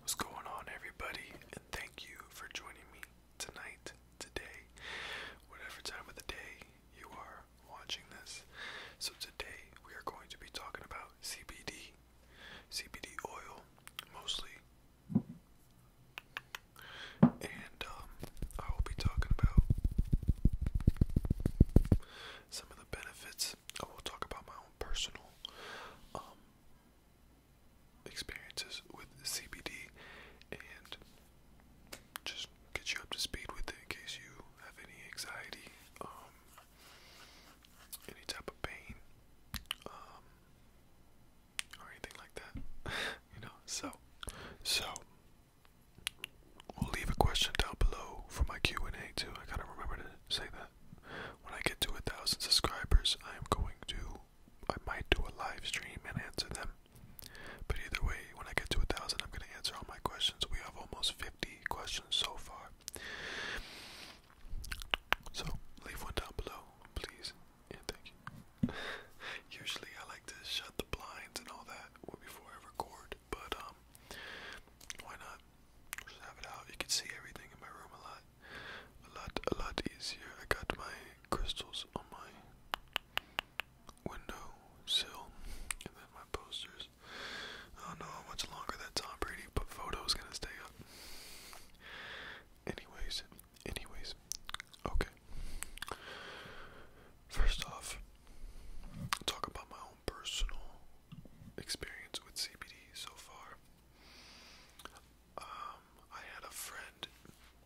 What's going on, everybody? And thank you for joining me tonight, today, whatever time of the day you are watching this. So, today we are going to be talking about CBD, CBD oil mostly. And um, I will be talking about some of the benefits. I will talk about my own personal um, experiences with CBD and just get you up to speed with it in case you have any anxiety, um, any type of pain, um, or anything like that. you know, so, so. We'll leave a question down below for my Q&A too. I gotta remember to say that when I get to a thousand subscribers, I am going to, I might do a live stream and answer them. But either way, when I get to a thousand, I'm going to answer all my questions. We have almost 50 questions so far. So leave one down below, please, and thank you. Usually, I like to shut the blinds and all that before I record, but um, why not? Just have it out. You can see everything in my room a lot, a lot, a lot easier. I got my crystals on my window sill, and then my posters. I don't know how much longer that Tom Brady but photo's gonna stay up. Anyways, anyways, okay. First off, talk about my own personal experience with CBD so far. Um, I had a friend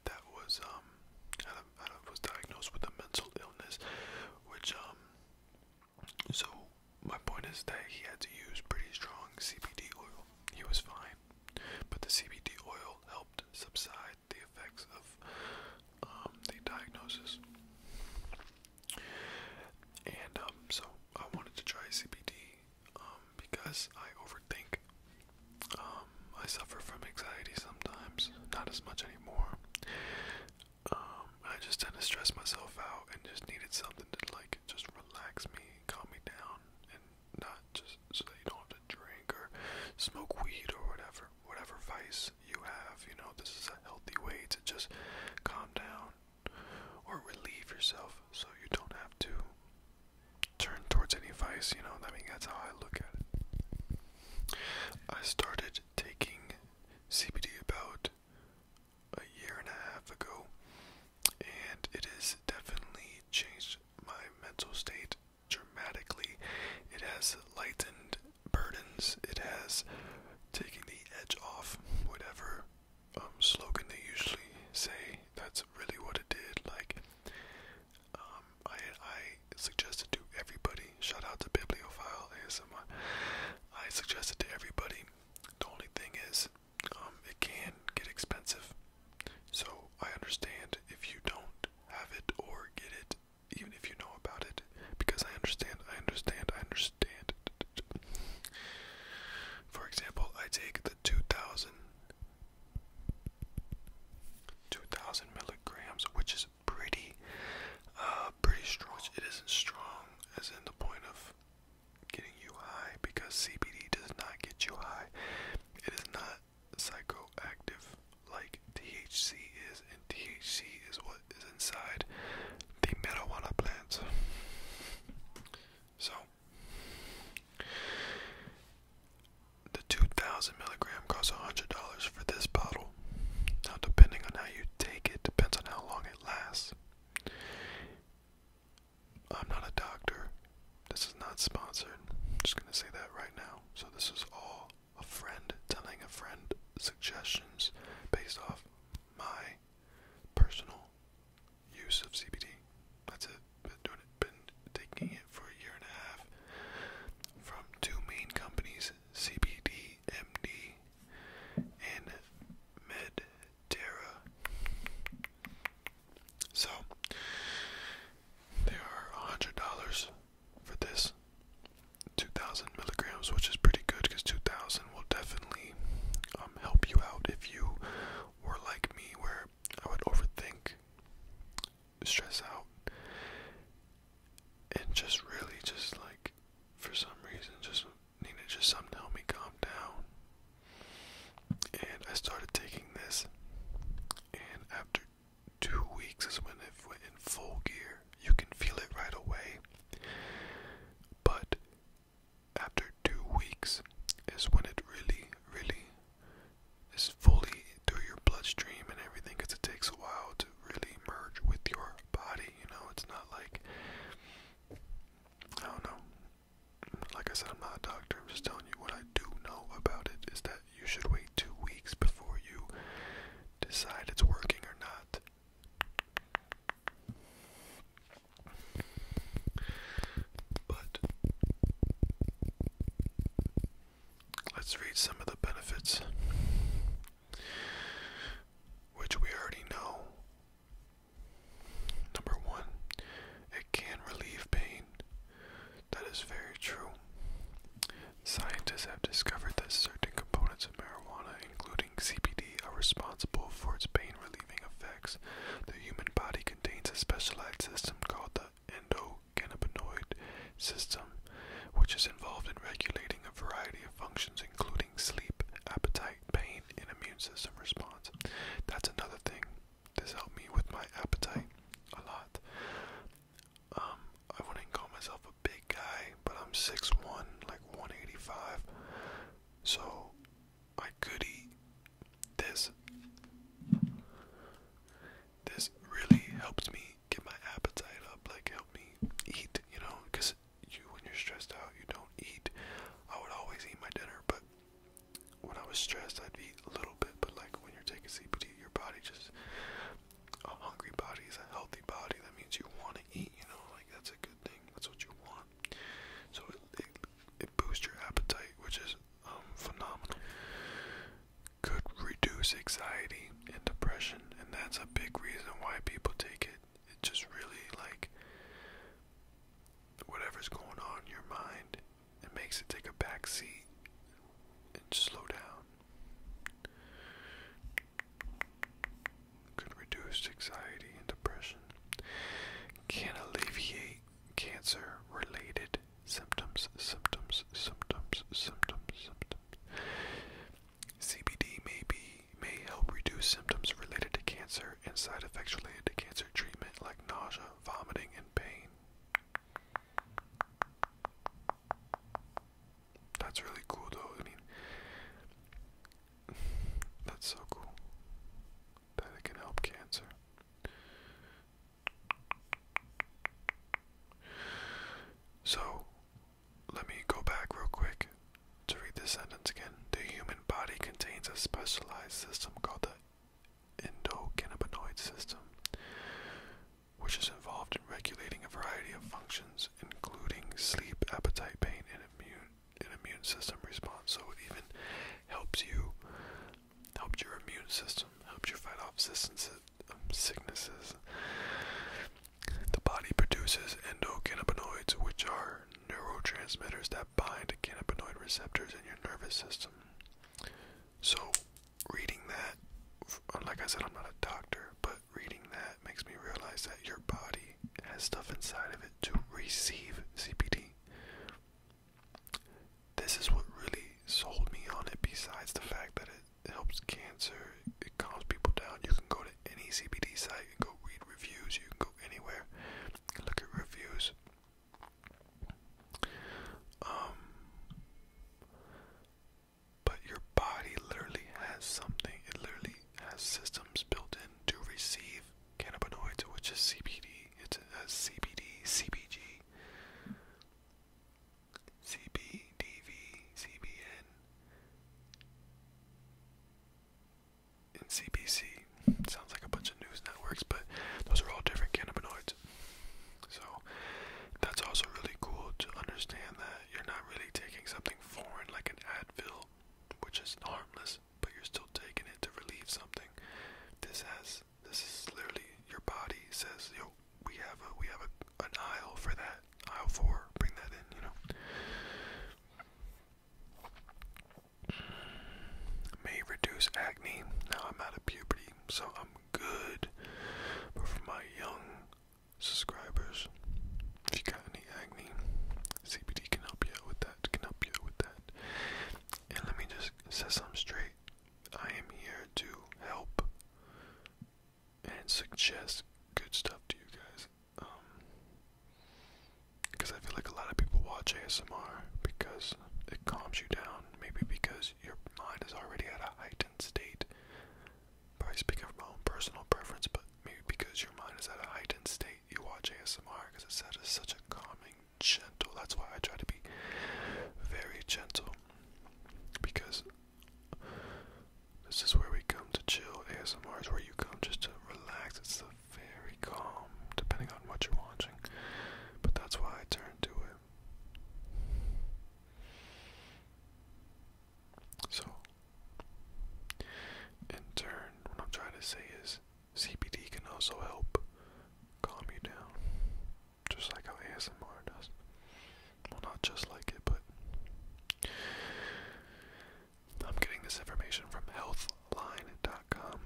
that was um, was diagnosed with a mental illness, which um, So my point is that he had to use pretty strong CBD oil. He was fine, but the CBD oil helped subside the effects of the diagnosis. And so I wanted to try CBD um, because I overthink. Um, I suffer from anxiety sometimes, not as much anymore. Um, I just tend to stress myself out and just needed something to like just relax me, calm me down, and not just so that you don't have to drink or smoke weed or whatever, whatever vice you have. You know, this is a healthy way to just calm down or relieve yourself so you don't have to turn towards any vice, you know. I mean, that's how I look at it. I started taking CBD about a year and a half ago, and it has definitely changed my mental state dramatically. It has lightened burdens, it has taken the edge off whatever um, slogan they usually say. That's really what it did. Like, um, I I suggested to everybody. Shout out to Bibliophile ASMR. I suggested to everybody. The only thing is, um, it can get expensive. So I understand if you don't have it or get it, even if you know about it, because I understand. I understand. I understand. For example, I take the 2000 milligrams, which is pretty uh, pretty strong. it isn't strong as in the point of getting you high because CBD does not get you high. It is not psychoactive like THC is and THC is what is inside the marijuana plants. So the 2000 milligram costs $100 for this bottle. Now, depending on how you take it, depends on how long it lasts. I'm not a doctor. This is not sponsored. I'm just going to say that right now. So, this is all a friend telling a friend suggestions based off my personal use of CBD. That's it. Been doing it. Been taking it for a year and a half from two main companies, CBD and Medterra. So they are a hundred dollars for this. 2000 milligrams, which is pretty good because 2000 will definitely um, help you out if you were like me, where I would overthink, stress out, and just really just like for some reason just needed just something to help me calm down. And I started taking this, and after two weeks is when it went in full gear. You can feel it right away, but after two weeks is when it really, really is fully through your bloodstream and everything because it takes a while to really merge with your body. You know, it's not like, I don't know. Like I said, I'm not a doctor. I'm just telling you what I do know about it is that you should wait two weeks before you decide it's working or not. But let's read some of the benefits, which we already know. Number one, it can relieve pain. That is very true. Scientists have discovered that certain components of marijuana, including CBD, are responsible for its pain relieving effects. The human body contains a specialized system called the endocannabinoid system, which is involved in regulating a variety of functions, including sleep, appetite, pain, and immune system response. That's another thing. This helped me with my appetite a lot. Um, I wouldn't call myself a big guy, but I'm 6'1, like 185. So I could eat this. This really helps me get my appetite up, like help me eat, you know, because you when you're stressed out, you don't eat. I would always eat my dinner, but when I was stressed, I'd eat a little bit, but like when you're taking CBD, your body just a hungry body is a healthy body. That means you want to eat, you know, like that's a that's what you want. So it, boosts your appetite, which is um, phenomenal. Could reduce anxiety and depression, and that's a big reason why people take it. It just really like whatever's going on in your mind, it makes it take a back seat and slow down. Could reduce anxiety and depression can alleviate cancer related symptoms, symptoms, symptoms, symptoms, symptoms. CBD may be may help reduce symptoms related to cancer and side effects related to cancer treatment like nausea, vomiting, and pain. That's really cool though. I mean that's so cool that it can help cancer. So, let me go back real quick to read this sentence again. The human body contains a specialized system called the endocannabinoid system, which is involved in regulating a variety of functions, including sleep, appetite, pain, and immune an immune system response. So it even helps you, helps your immune system, helps you fight off um, sicknesses. The body produces endocannabinoids, which are neurotransmitters that bind to cannabinoid receptors in your nervous system. So, reading that, uh, like I said, I'm not a doctor, but reading that makes me realize that your body has stuff inside of it to receive CBD. This is what really sold me on it, besides the fact that it helps cancer, it calms people down. You can go to any CBD site, and go read reviews, you can go anywhere, look at reviews. Um, but your body literally has something, it literally has systems built in to receive cannabinoids, which is CBD. It's a CBD, CBG, CBDV, CBN, and CBC. sounds like a bunch of news networks, but those are all different cannabinoids. So that's also really cool to understand that you're not really taking something foreign like an Advil, which is harmless but you're still taking it to relieve something. This has this is literally your body says, yo, we have a we have a, an aisle for that. Aisle four, bring that in, you know. May reduce acne. Now I'm out of puberty, so I'm good. But for my young subscribers, if you got any acne, CBD can help you with that can help you with that. And let me just set something straight. I am here to help and suggest good stuff to you guys. because um, I feel like a lot of people watch ASMR because it calms you down. Maybe because your mind is already at a heightened state. Probably speaking from my own personal preference, but maybe because your mind is at a heightened state you watch ASMR because it's such a, calming, gentle. That's why I try to be very gentle because this is where we come to chill. ASMR is where you come just to relax. It's very calm, depending on what you're watching. But that's why I turn to it. So, in turn, what I'm trying to say is CBD can also help calm you down, just like how ASMR does. Well, not just like it, but I'm getting this information from healthline.com.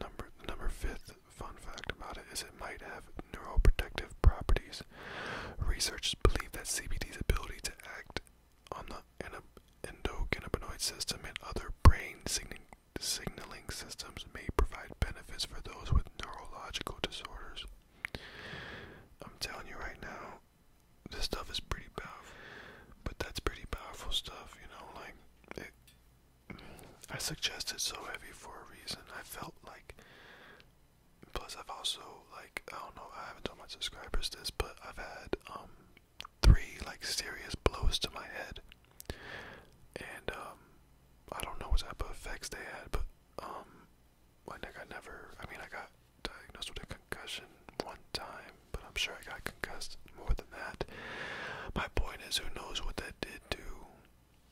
Number number fifth fun fact about it is it might have neuroprotective properties. Researchers believe that CBD's ability to act on the endocannabinoid system and other brain signaling, systems may provide benefits for those with neurological disorders. I'm telling you right now, this stuff is pretty powerful, but that's pretty powerful stuff, you know, like. I suggest it's so heavy for a reason. I felt like. Plus, I've also like I don't know. I haven't told my subscribers this, but I've had um three like serious blows to my head, and um, I don't know what type of effects they had, but um, like I never, I mean, I got diagnosed with a concussion one time, but I'm sure I got concussed more than that. My point is, who knows what that did to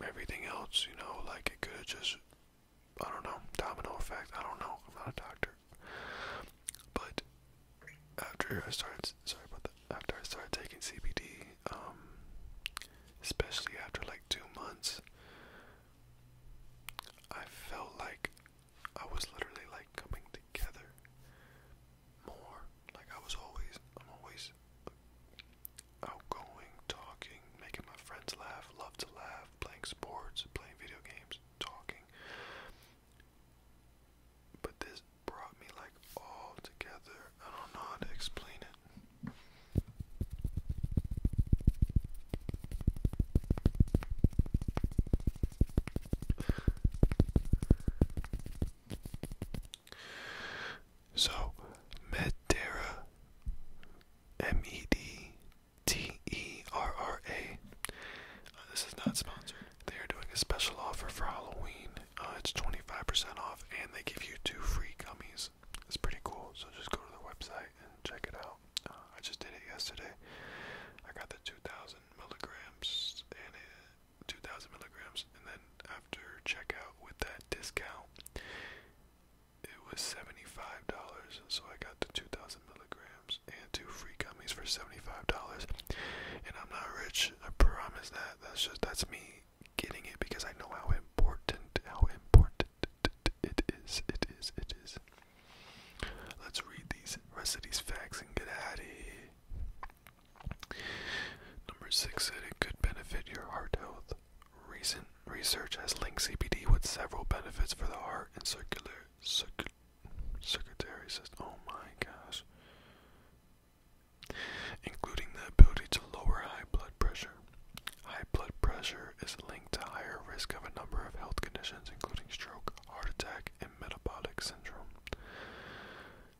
everything else? You know, like it could have just, I don't know, domino effect. I don't know. I'm not a doctor. But after I started, sorry about that. After I started taking CBD, um, especially after like two months, I felt like I was literally like coming together more. Like I was always, I'm always outgoing, talking, making my friends laugh, love to laugh, playing sports, playing video games, talking. But this brought me like all together. I don't know how to explain it. So, Medterra, M E D T E R R A. Uh, this is not sponsored. They are doing a special offer for Halloween. Uh, it's 25% off, and they give you two free gummies. It's pretty cool. So just go to their website and check it out. Uh, I just did it yesterday. I got the 2,000 milligrams and it, 2,000 milligrams, and then after checkout with that discount, it was $75. So I got the 2,000 milligrams and two free gummies for $75. And I'm not rich, I promise that. That's just that's me getting it because I know how important how important it is. It is. It is. Let's read these rest of these facts and get out of here. Number six it could benefit your heart health. Recent research has linked CBD with several benefits for the heart and circulatory. Secretary says, oh my gosh. Including the ability to lower high blood pressure. High blood pressure is linked to higher risk of a number of health conditions, including stroke, heart attack, and metabolic syndrome.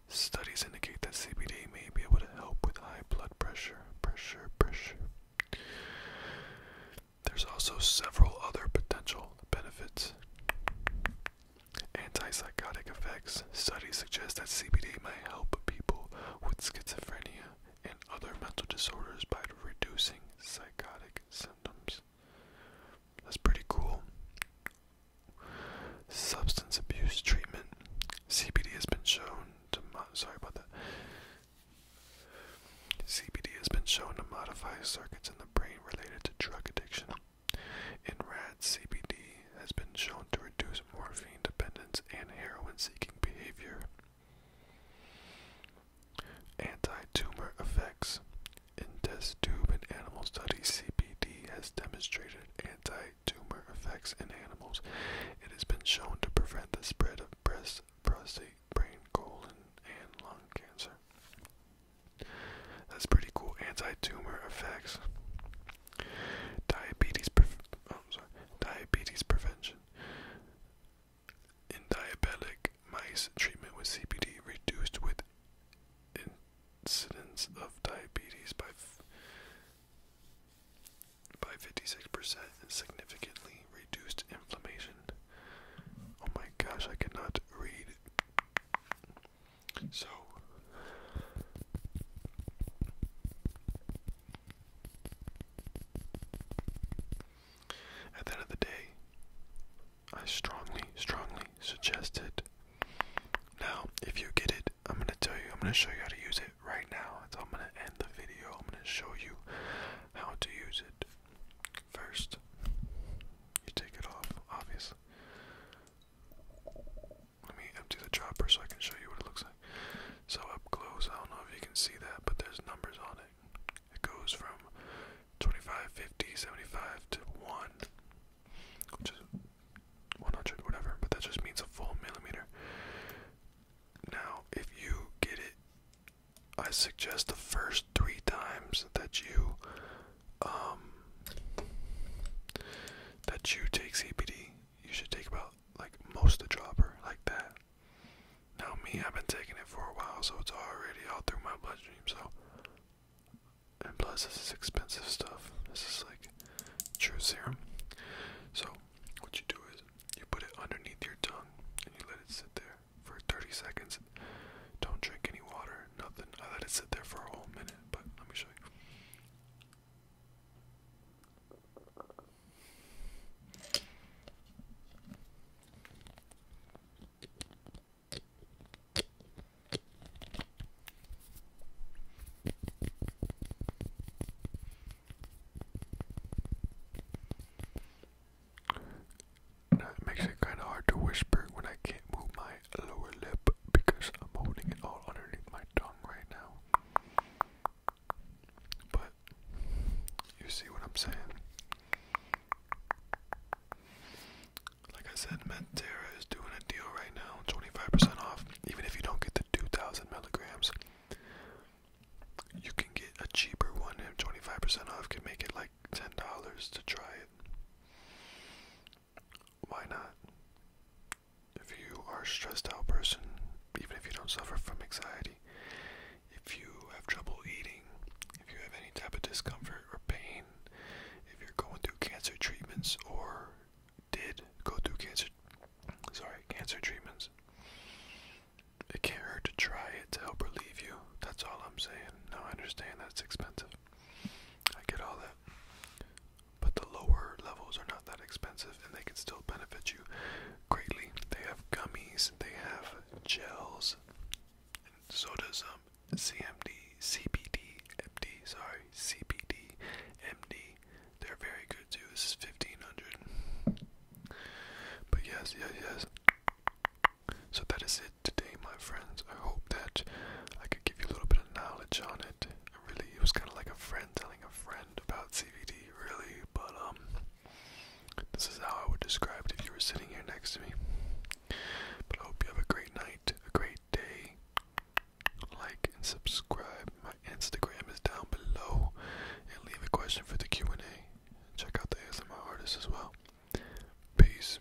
Studies indicate that CBD may be able to help with high blood pressure. Pressure, pressure. There's also several other potential benefits. Antipsychotic effects. Studies suggest that CBD might help people with schizophrenia and other mental disorders by reducing psychotic symptoms. That's pretty cool. Substance abuse treatment. CBD has been shown to sorry about that. CBD has been shown to modify circuits in the brain related to drug addiction in rats, CBD has been shown to reduce morphine dependence and heroin seeking behavior. Anti tumor effects. In test tube and animal studies, CBD has demonstrated anti tumor effects in animals. It has been shown to prevent the spread of breast, prostate, brain, colon, and lung cancer. That's pretty cool. Anti-tumor effects. Diabetes. oh, sorry. Diabetes prevention. In diabetic mice, treatment with CBD reduced with incidence of diabetes by by 56% and significantly reduced inflammation. Oh my gosh, I cannot read. So at the end of the day, I strongly, strongly suggest it. Now, if you get it, I'm gonna tell you, I'm gonna show you how to use it right now. So I'm gonna end the video. I'm gonna show you how to use it first. You take it off, obviously. Let me empty the chopper so I can show you what it looks like. So up close, I don't know if you can see that, but there's numbers on it. It goes from 25, 50, 75 to 1, which is 100, whatever, but that just means a full millimeter. Now, if you get it, I suggest the first three times that you um, that you take CBD. You should take about like most a dropper like that. Now me, I've been taking it for a while, so it's already all through my bloodstream. So, and plus this is expensive stuff. This is like true serum. So what you do is you put it underneath your tongue and you let it sit there for 30 seconds. Don't drink any water nothing. I let it sit there for a whole minute, but let me show you. It makes it kind of hard to whisper when I can't move my lower lip because I'm holding it all underneath my tongue right now. But you see what I'm saying? Like I said, Mentera is doing a deal right now, 25% off. Even if you don't get the 2,000 milligrams, you can get a cheaper one, and 25% off can make it like $10 to try it. Why not? If you are a stressed out person, even if you don't suffer from anxiety, if you have trouble eating, if you have any type of discomfort or pain, if you're going through cancer treatments or did go through cancer sorry, cancer treatments, it can't hurt to try it to help relieve you. That's all I'm saying. Now I understand that's expensive. I get all that. But the lower levels are not that expensive and they can still benefit you greatly. They have gummies, they have gels, and so does um CMD, CBD, MD, sorry, CBD, MD. They're very good too. This is 1500. But yes, yes, yes. So that is it today, my friends. I hope that I could give you a little bit of knowledge on it. I really, it was kind of like a friend telling a friend about CBD, really. But um, this is how I would describe it if you were sitting here next to me. But I hope you have a great night, a great day. Like and subscribe. My Instagram is down below, and leave a question for the Q and A. Check out the ASMR artists as well. Peace.